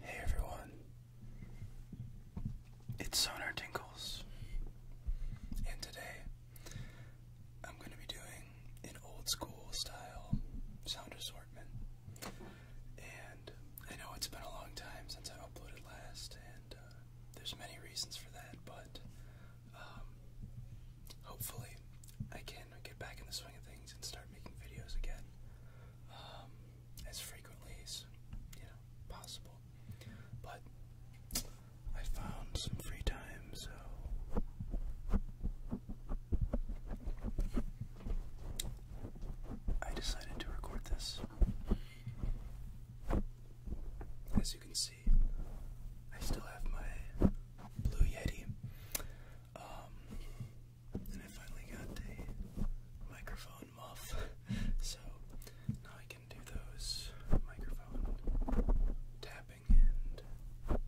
Hey everyone, it's Sonar Tinkles, and today I'm going to be doing an old school style sound assortment. And I know it's been a long time since I uploaded last, and uh, there's many reasons for that, but um, hopefully, I can get back in the swing of things and start making videos again um, as frequently as possible. But I found some free time, so I decided to record this. As you can see. I still have my Blue Yeti. Um, and I finally got a microphone muff, so now I can do those microphone tapping and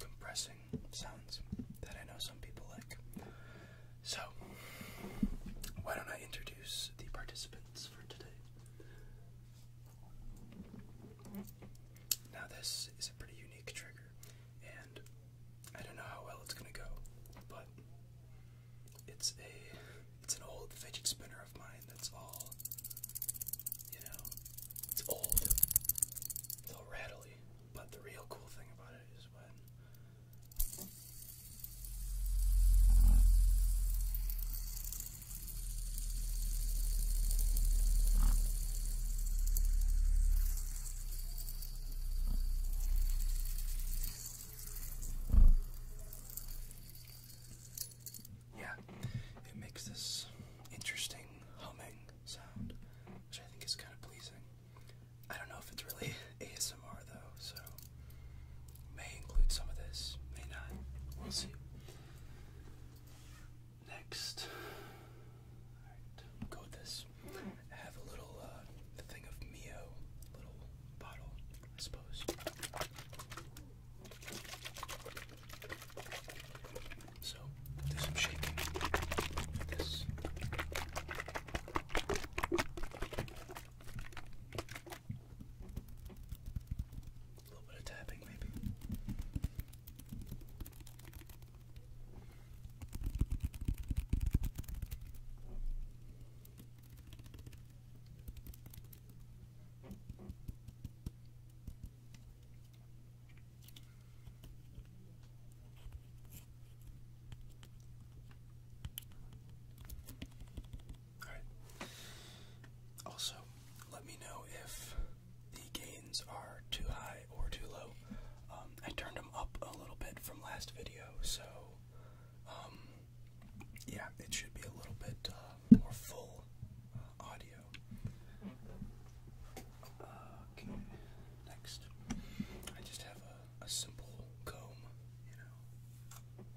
compressing sounds that I know some people like. So, why don't I introduce the participants for today? Now, this is a pretty unique trigger, and I don't know how well it's gonna go, but it's a it's an old fidget spinner of mine that's all you know it's old. It's all rattly. But the real cool thing about it is when yeah, it makes this interesting humming sound, which I think is kind of pleasing. I don't know if it's really ASMR ASMR though, so may include some of this, may not. We'll see. Next, go this. have a little uh, thing of Mio, little bottle, I suppose. So do some shaking a little bit of tapping, maybe. Also, let me know if the gains are too high or too low. Um, I turned them up a little bit from last video, so um, yeah, it should be a little bit uh, more full uh, audio. Uh, okay, next. I just have a simple comb, you know.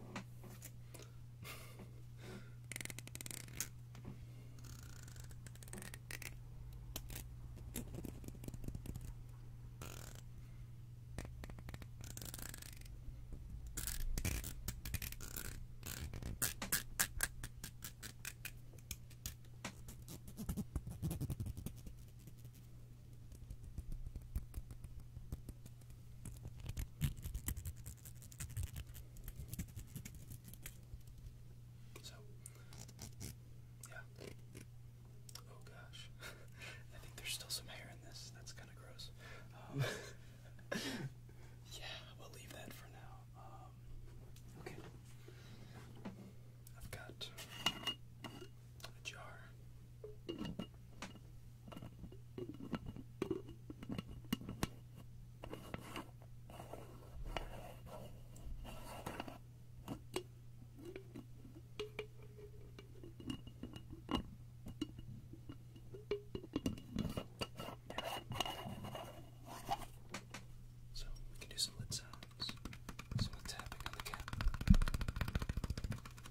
So, yeah. Oh gosh. I think there's still some hair in this. That's kind of gross. Um, yeah, we'll leave that for now. Um, okay. I've got a jar. So we can do some lid sounds, some tapping on the cap.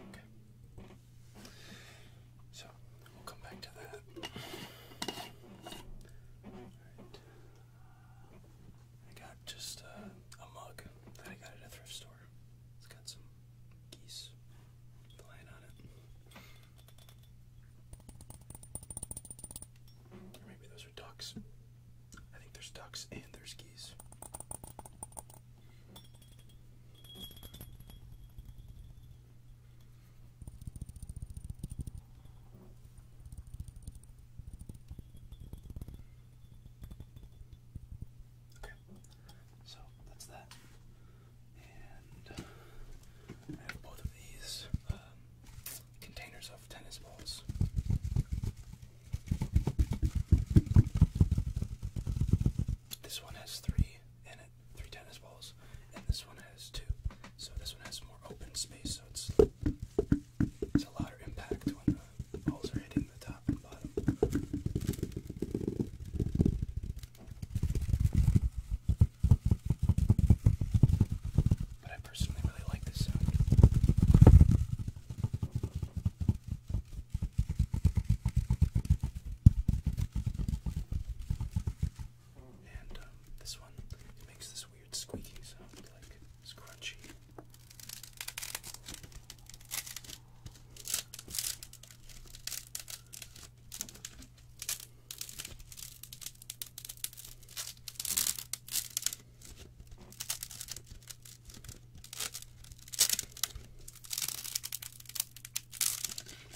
Okay. So we'll come back to that. I got just uh, a mug that I got at a thrift store. It's got some geese flying on it. maybe those are ducks. I think there's ducks and there's geese. Okay, so that's that. And I have both of these um, containers of tennis balls. This one has three in it, three tennis balls, and this one has two. So this one has more open space, so it's it's a louder impact when the balls are hitting the top and bottom. But I personally really like this sound. And um, this one it makes this weird squeaky sound, like it's crunchy.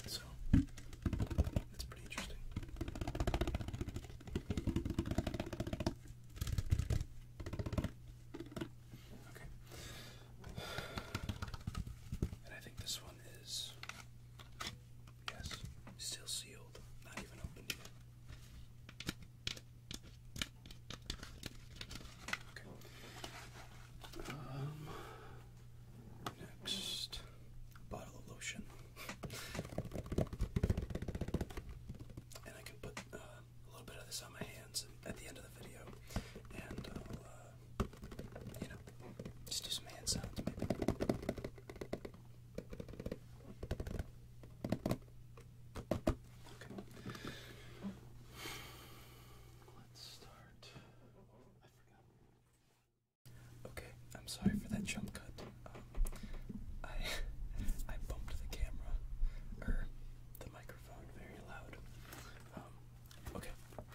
So that's pretty interesting. Okay. And I think this one is yes, still sealed, not even opened next, bottle of lotion. And I can put uh, a little bit of this on my hands at the end of the video. And I'll, uh, you know, just do some hand sounds Okay. Let's start. I forgot. Okay, I'm sorry for that jump cut. Um, I I bumped the camera or er, the microphone very loud. Um, okay, but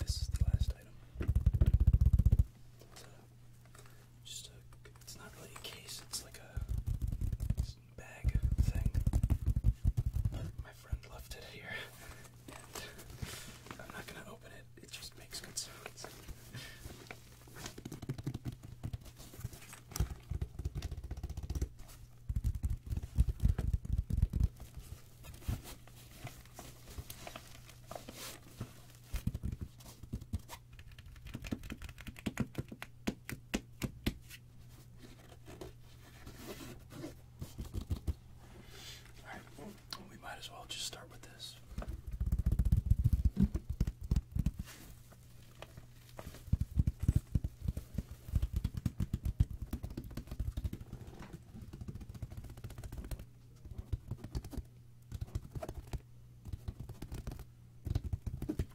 this is the last item. Uh, just a. It's not really a case. It's like a bag thing. My friend left it here, and I'm not gonna open it. It just makes good sounds. Alright, we might as well just start with this.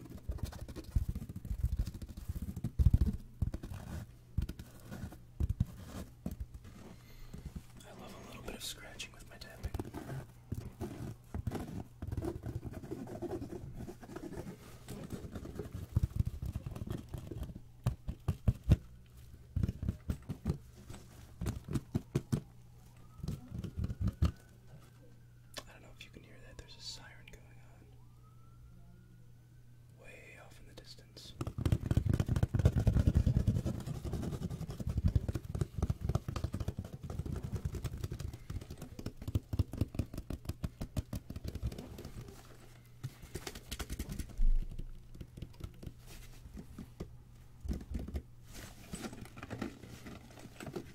I love a little bit of scratching with my tapping. I don't know if you can hear that. There's a siren going on way off in the distance.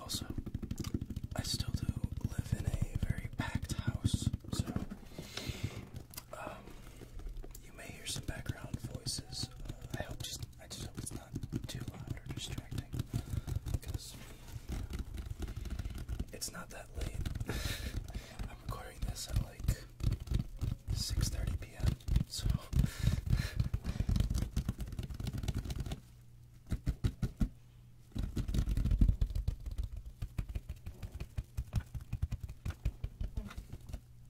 Also, I still do live in a very packed house, so um, you may hear some background voices. Uh, I hope just I just hope it's not too loud or distracting because it's not that late. I'm recording this at like 6:30 p.m. So.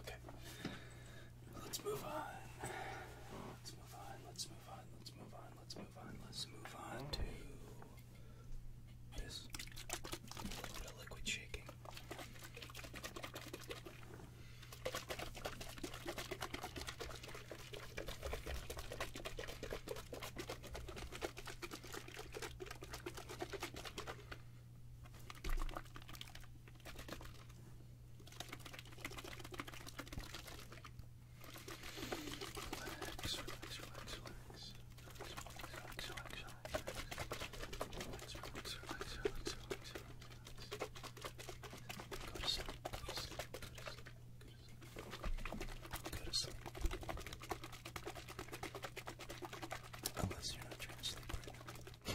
Okay. Let's move on. Let's move on. Let's move on. Let's move on. Let's move on. Let's move on to this. A little bit of liquid shaking. Okay. Relax, relax, relax, relax. Relax, relax, relax, relax. Relax, relax, relax, relax, relax, relax. Go to sleep, go to sleep, go to sleep, go to sleep. Go to sleep. Unless you're not trying to sleep right now.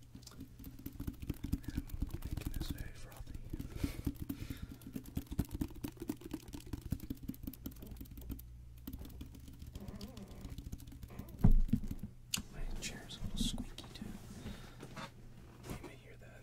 And making this a little squeaky too. You may hear that.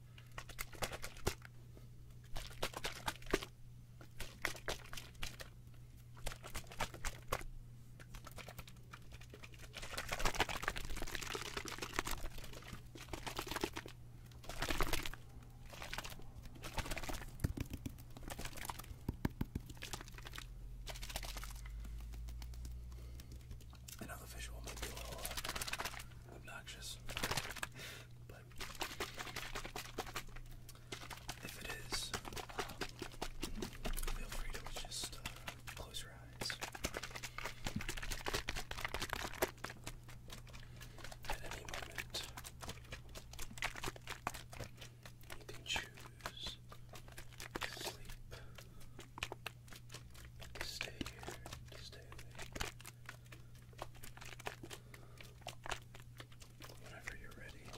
I know visual might be a little uh, obnoxious, if it is, um, feel free to just uh, close your eyes. At any moment, you can choose sleep, to stay here, to stay awake, Whenever you're ready.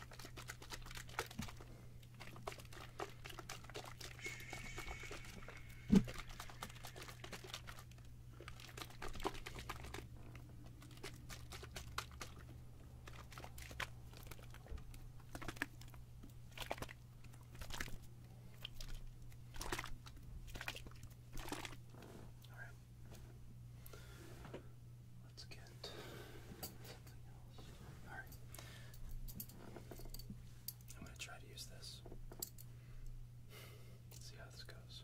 Alright. Let's get something else. Alright. I'm going to try to use this. Let's see how this goes.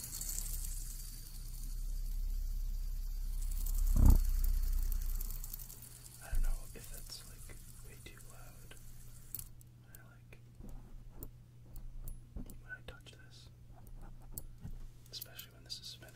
I don't know if that's like way too loud. I like when I touch this, especially when this is spinning.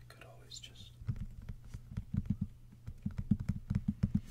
We could always just do a little bit of this.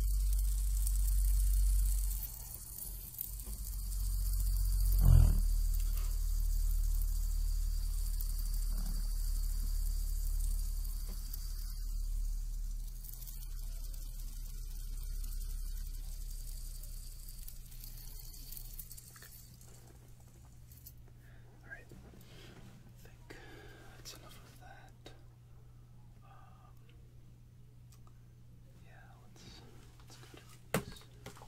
All right, I think that's enough of that. Um, yeah, let's let's go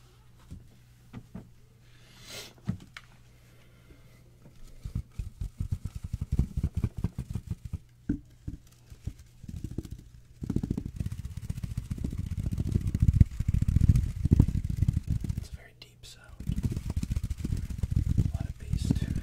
a very deep sound lot of bass to it. I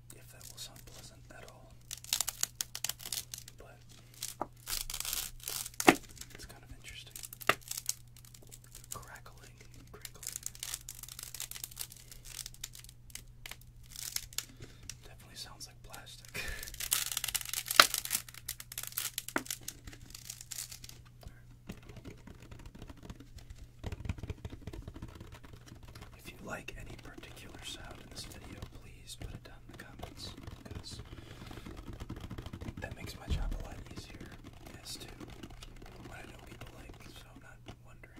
if that will sound pleasant at all. But it's kind of interesting. Crackling crinkling. Definitely sounds like plastic. If you like any particular sound in this video, please put it down in the comments because that makes my job a lot easier as to what I know people like, so I'm not wondering.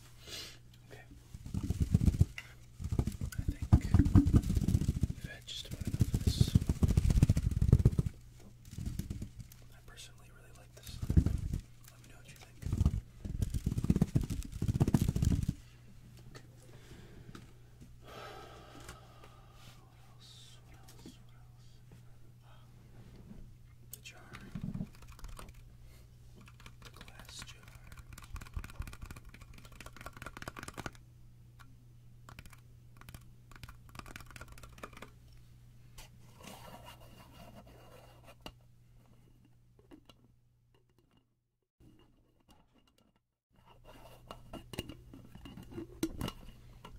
Okay. I think we just about enough of this. I personally really like this. Let me know what you think. What else? What else? What else? the jar,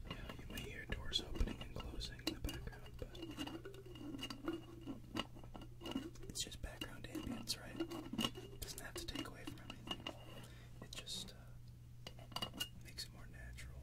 Yeah, you may hear doors opening and closing in the background, but it's just background ambience, right? It doesn't have to take away from everything. It just uh, makes it more natural.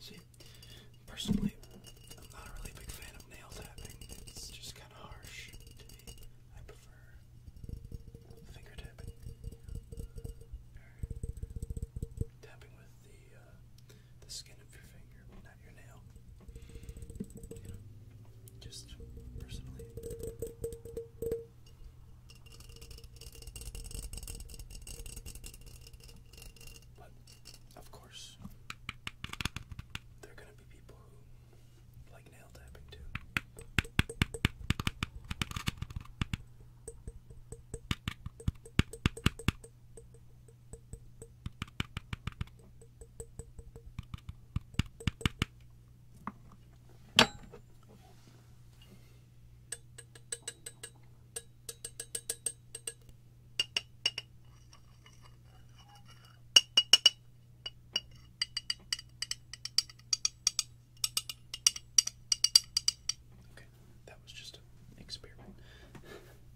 See, personally, I'm not a really big fan of nail tapping. It's just kind of harsh to me. I prefer finger tapping. tapping with the uh, uh, the skin of your finger, not your nail. just personally. But of course, there are gonna be people who like nail tapping too. Okay, that was just an experiment.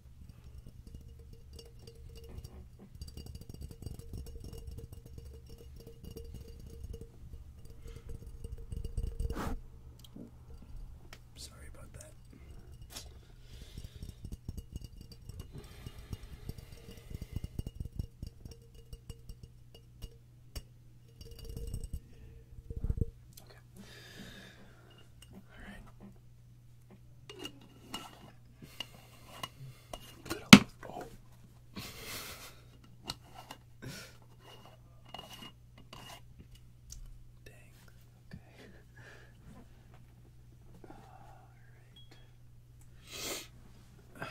Sorry about that. Okay. All right. Oh. Dang. Okay. All right.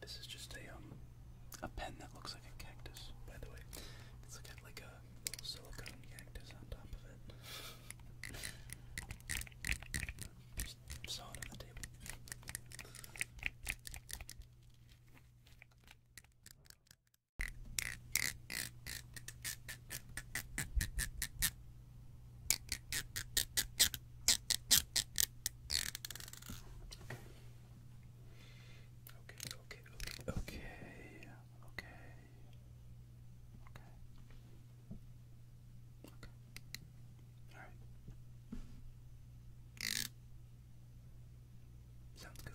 This is just a um a pen that looks like a cactus, by the way. it's has got like a little silicone cactus on top of it. Just saw it on the table. Okay, okay, okay, okay, okay, okay, okay, Okay. All right. Sounds good.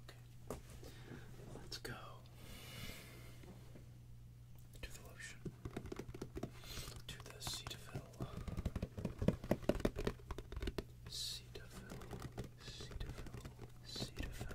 Okay. Let's go to the lotion. To the Cetaphil. Cetaphil. Cetaphil. Cetaphil.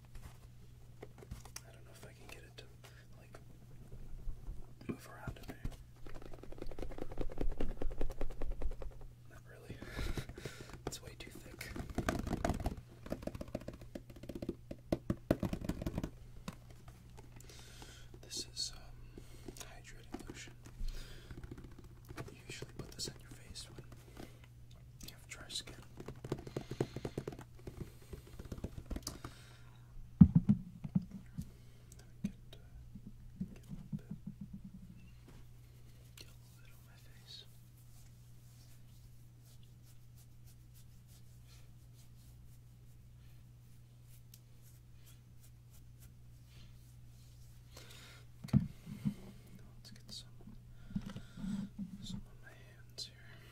I don't know if I can get it to like move around in there. Not really. it's way too thick. This is um, hydrating lotion. usually put this on your face when you have dry skin. Get, uh, get a little bit, get a little bit on my face. Okay, let's get some some on my hands here.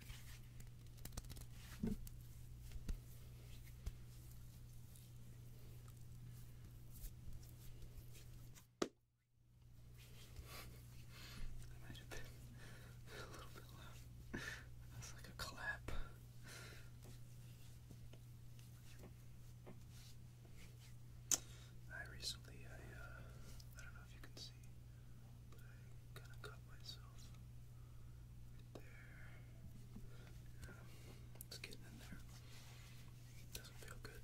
That might have been a little bit loud. That's like a clap. I recently, I, uh, I don't know if you can see, but I kind of cut myself right there. it's getting in there. Doesn't feel good.